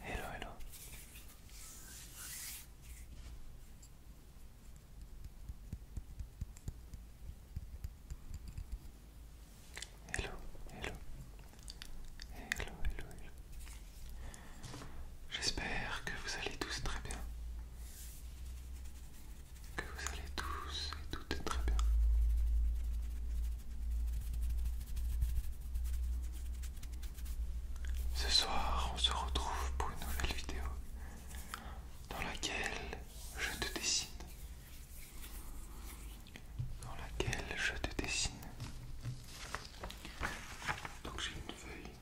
Hello, hello. Hello, hello. Hello, hello, J'espère que vous allez tous très bien que vous allez tous et toutes très bien. Ce soir, on se retrouve pour une nouvelle vidéo dans laquelle je te dessine. Dans laquelle je te dessine. Donc j'ai une feuille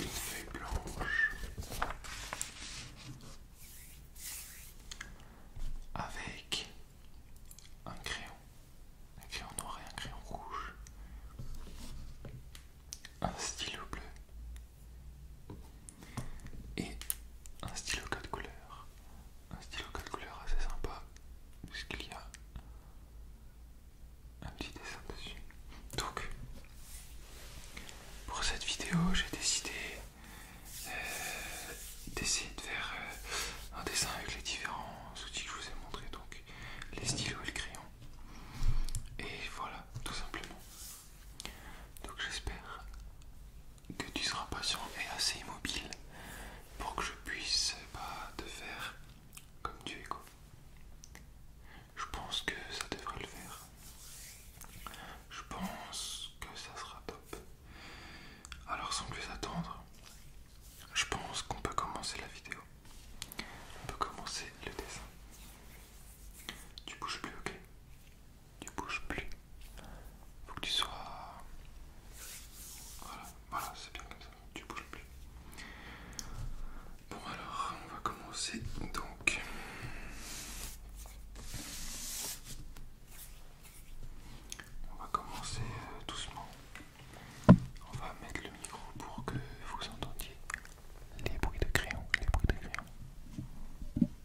une feuille blanche avec un crayon, un crayon noir et un crayon rouge, un stylo bleu et un stylo code couleur. Un stylo code couleur assez sympa puisqu'il y a un petit dessin dessus. Donc pour cette vidéo j'ai décidé euh, d'essayer de faire euh, un dessin avec les différents outils que je vous ai montrés, donc les stylos et le crayon. Et voilà, tout simplement. Donc j'espère que tu seras patient et assez immobile pour que je puisse bah, te faire comme tu es Je pense que ça devrait le faire. Je pense que ça sera top. Alors sans plus attendre, je pense qu'on peut commencer la vidéo. On peut commencer le dessin. Tu bouges plus, ok tu bouges plus. Faut que tu sois. Voilà, voilà, c'est bien comme ça, tu bouges plus. Bon alors, on va commencer donc. On va commencer euh, doucement. On va mettre le micro pour que vous entendiez les bruits de crayon, les bruits de crayon.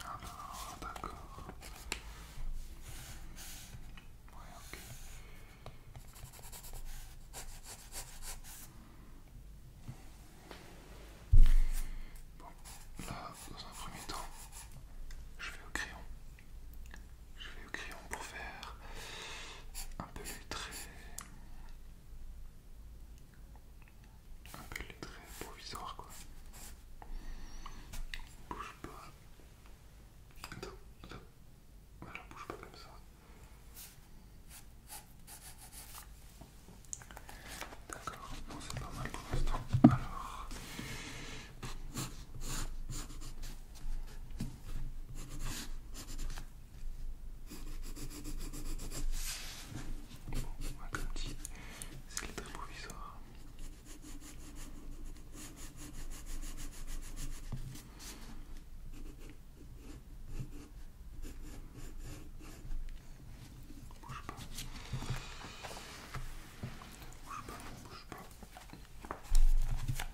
Alors, ah, d'accord. Ouais, ok. Bon, là, dans un premier temps, je vais au crayon. Je vais au crayon pour faire un peu plus traits un peu les traits provisoires quoi. Bouge pas. Attends, attends. bouge pas comme ça. D'accord, Bon, c'est pas mal pour l'instant. Alors... Bon, comme dit, c'est le trémovisor. Bouge pas. Bouge pas, bouge pas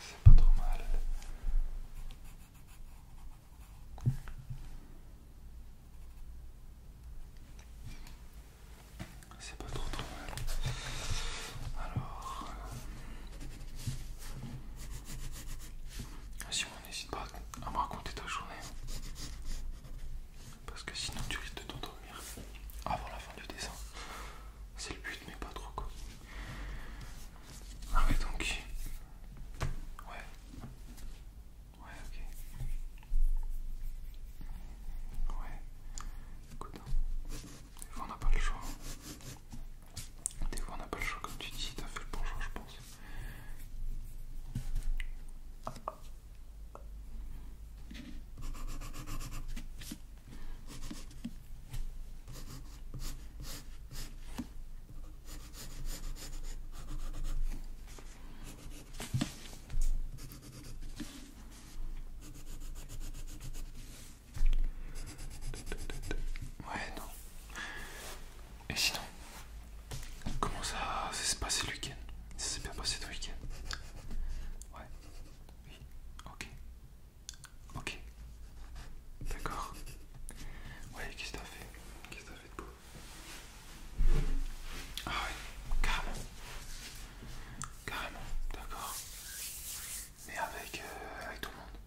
c'est pas trop mal. C'est pas trop trop mal. Alors, si on n'hésite pas à me raconter ta journée. Parce que sinon, tu risques de t'endormir avant la fin du dessin. C'est le but, mais pas trop quoi. Ah ouais, donc. Ouais. Ouais, ok. Ouais. Écoute, hein. des fois on n'a pas le choix. Des on n'a pas le choix, comme tu dis, t'as fait le bon choix, je pense. Ouais, non. Et sinon, comment ça, s'est passé le week-end Ça s'est bien passé le week-end Ouais. Oui. Ok. Ok. D'accord. Ouais, qu'est-ce que t'as fait Qu'est-ce que t'as fait de beau Ah ouais, carrément. Carrément, d'accord. Mais avec, euh, avec tout le monde.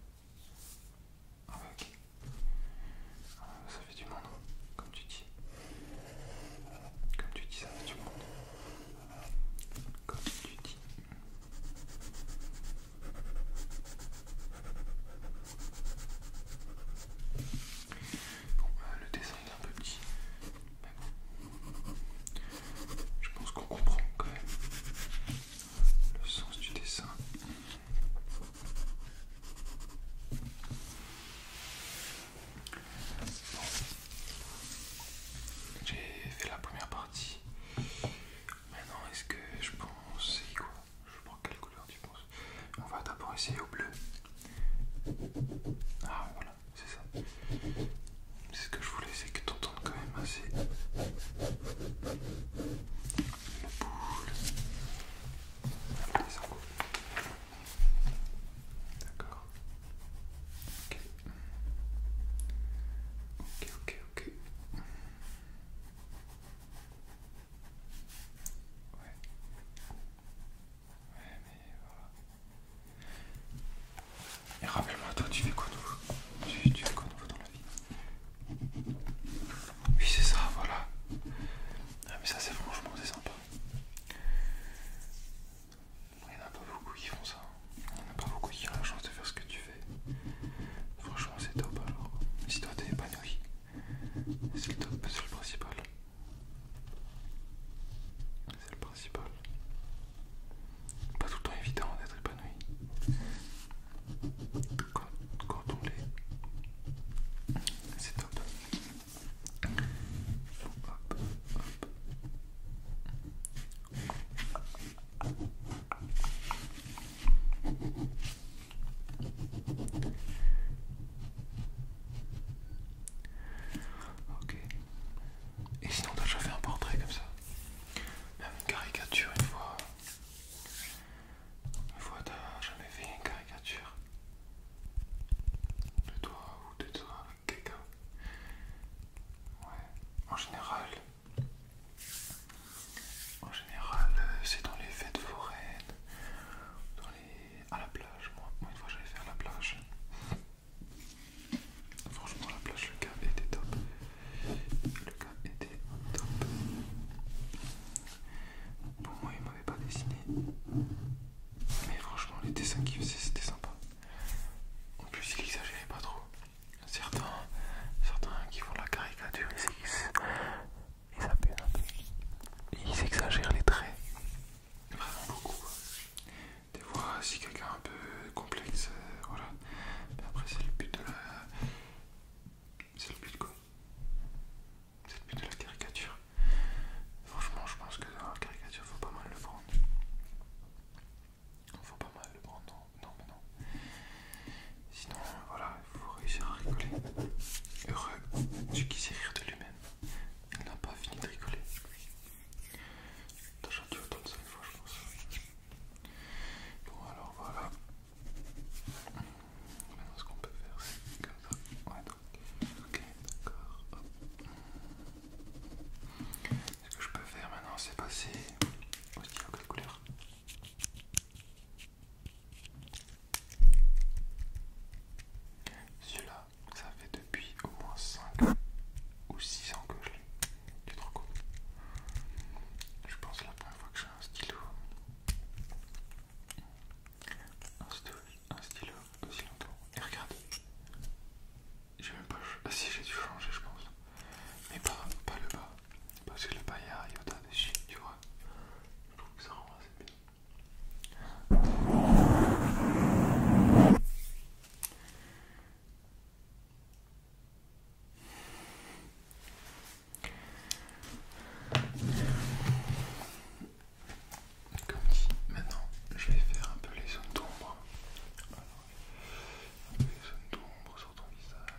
Avec. Euh, ça fait du monde, comme tu dis. Comme tu dis, ça fait du monde. Comme tu dis. Bon, euh, le dessin est un peu petit. Je pense qu'on comprend quand même le sens du dessin. Bon. J'ai fait la première partie. Maintenant, est-ce que je pense c'est quoi Je prends quelle couleur tu penses On va d'abord essayer au bleu. Ah voilà c'est ça. C'est ce que je voulais, c'est que tu quand même assez le boule. D'accord. Ok. Ok, ok, ok. Ouais. Ouais, mais voilà. Et rappelle-moi, toi, tu fais quoi de tu, fais quoi nouveau dans la vie Oui, c'est ça, voilà. mais ça, c'est franchement, c'est sympa. Il n'y en a pas beaucoup qui font ça. Hein. Il n'y en a pas beaucoup qui ont la chance de faire ce que tu fais. Franchement, c'est top alors. Si toi, t'es épanoui, c'est le top, c'est le principal c'est le principal. Pas tout le temps évident d'être épanoui. Quand, on l'est, c'est top. Hop, hop. Ok. Et sinon t'as déjà fait un portrait comme ça une caricature, une fois. Une fois, t'as jamais fait une caricature de toi ou de toi avec quelqu'un. Ouais, en général. En général, euh, c'est dans les fêtes foraines, dans à la plage. Moi, une fois, j'allais faire la plage. Franchement, la plage, le cas était top. Le cas était top. Pour moi, il m'avait pas dessiné. Mais franchement, les dessins qu'il faisait, c'était sympa. En plus, il exagérait pas trop. Certains, certains qui font la caricature, ils, ils Ils exagèrent les traits. Vraiment beaucoup des fois si quelqu'un est un peu complexe, euh, voilà. Mais après c'est le but de la... C'est le but quoi C'est le but de la caricature. Franchement je pense que dans la caricature faut pas mal le prendre. Faut pas mal le prendre, non, non mais non. Sinon voilà, il faut réussir à rigoler. Heureux, celui qui sait rire de lui-même. Il n'a pas fini de rigoler. T'as chanté autant de 5 fois, je pense. Bon, alors voilà. Maintenant, ce qu'on peut faire, c'est comme ça. Ouais, donc. Ok, d'accord. Ce que je peux faire maintenant, c'est passer au stylo couleur. Celui-là, ça fait depuis au moins 5 ou 6 ans que je l'ai. Je pense que la première fois que j'ai un stylo. Un stylo, un stylo aussi longtemps. Et regardez. J'ai même pas. Ah si, j'ai dû changer, je pense. Mais pas, pas le bas. Parce que le bas, il y a Yoda dessus, tu vois. Je trouve que ça rend assez bien. Comme dit, maintenant je vais faire un peu les zones d'ombre. Un peu les zones d'ombre sur ton visage.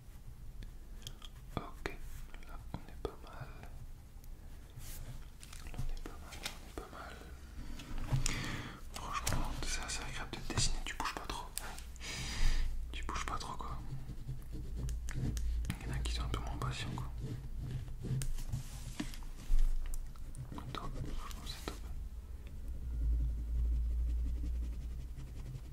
Ok, là on est pas mal. on est pas mal, on est pas mal. Franchement, c'est agréable de te dessiner, tu bouges pas trop. Tu bouges pas trop quoi. Il y en a qui sont un peu moins patients quoi. franchement c'est top.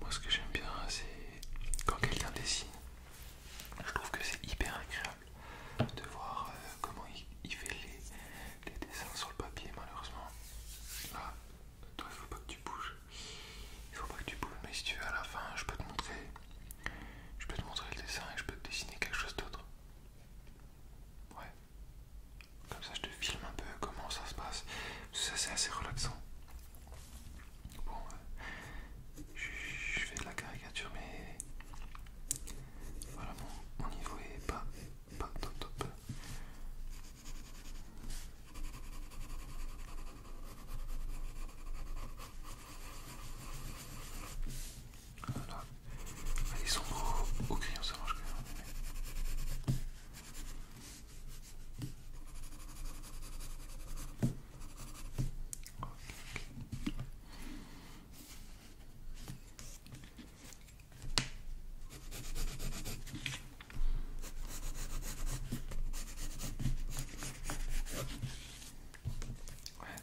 Moi ce que j'aime bien c'est quand quelqu'un dessine. Je trouve que c'est hyper agréable de voir euh, comment il, fait les, dessins sur le papier malheureusement. Là, ah, toi il faut pas que tu bouges. Il faut pas que tu bouges mais si tu veux à la fin je peux te montrer. Je peux te montrer le dessin et je peux te dessiner quelque chose d'autre. Ouais. Comme ça, je te filme un peu comment ça se passe. Ça, c'est assez relaxant. Bon, euh, je, fais de la caricature, mais voilà, mon, niveau est pas, pas top top. Ils sont Au crayon, ça quand même. Ouais,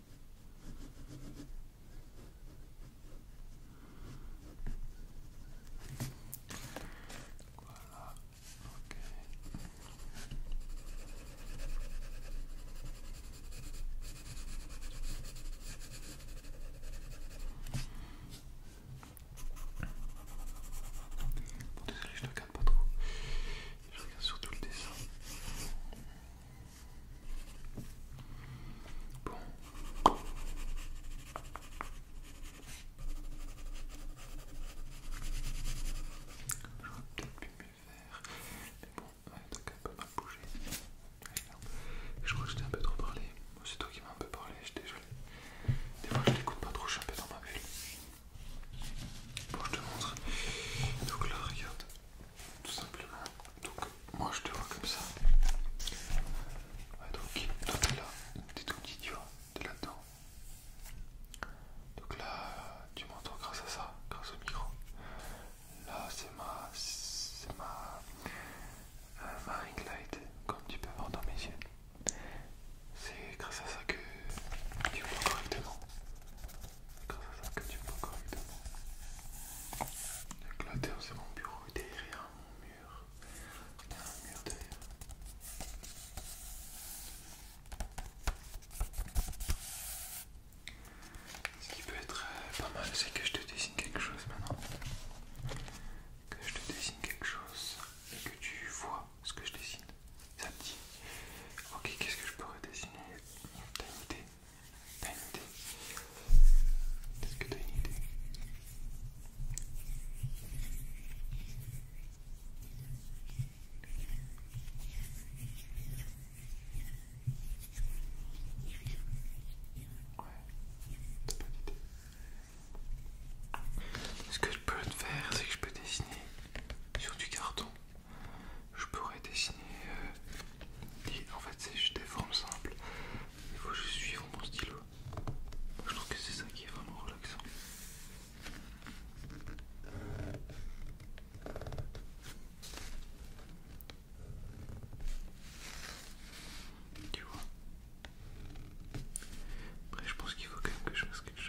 Voilà, ok. désolé, je ne regarde pas trop. Je regarde surtout le dessin. Bon. J'aurais peut-être pu mieux faire. Mais bon, t'as quand même pas mal Je crois que je un peu trop parlé. C'est toi qui m'as un peu parlé, je t'ai désolé. Des fois je t'écoute pas trop, je suis un peu dans ma bulle. Bon, je te montre. Donc là, regarde tout simplement. Donc moi je te vois comme ça. donc toi t'es là, t'es tout petit, tu vois, t'es là-dedans. Donc là, tu m'entends grâce à ça, grâce au micro. Là c'est ma. c'est ma. Euh, ma ring light, comme tu peux voir dans mes yeux. C'est grâce à ça que tu me vois correctement. C'est grâce à ça que tu me vois correctement. Donc là c'est mon bureau et derrière mon mur. Il y a mur derrière. Ce qui peut être euh, pas mal c'est que je te dessine quelque chose maintenant. Que je te dessine quelque chose et que tu vois ce que je dessine. Ça te dit. Ok, qu'est-ce que je pourrais dessiner T'as une idée une Est-ce que t'as une idée Ouais, t'as pas d'idée. Ce que je peux faire, c'est que je peux dessiner sur du carton. Je pourrais dessiner. Euh, en fait, c'est juste des formes simples. Il faut juste suivre mon stylo. Je trouve que c'est ça qui est vraiment relaxant. Tu vois Après je pense qu'il faut quand même que je fasse quelque chose.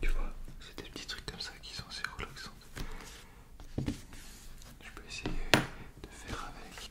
Tu vois, c'est des petits trucs comme ça qui sont assez relaxants. Je peux essayer de faire avec.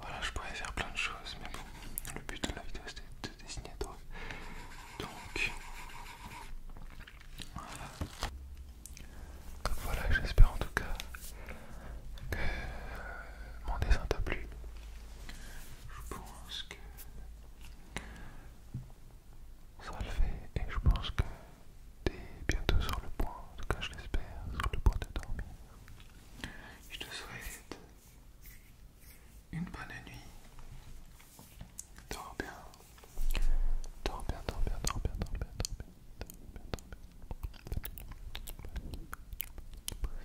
Voilà, je pourrais faire plein de choses, mais bon, le but de la vidéo c'était de dessiner toi. Donc, voilà. Donc voilà, j'espère en tout cas que mon dessin t'a plu. Je pense que ça le fait et je pense que t'es bientôt sur le point, en tout cas je l'espère, sur le point de dormir. Je te souhaite une bonne nuit. Dors bien. Dors bien, dors bien, dors bien, dors bien, dors bien, dors bien, dors bien.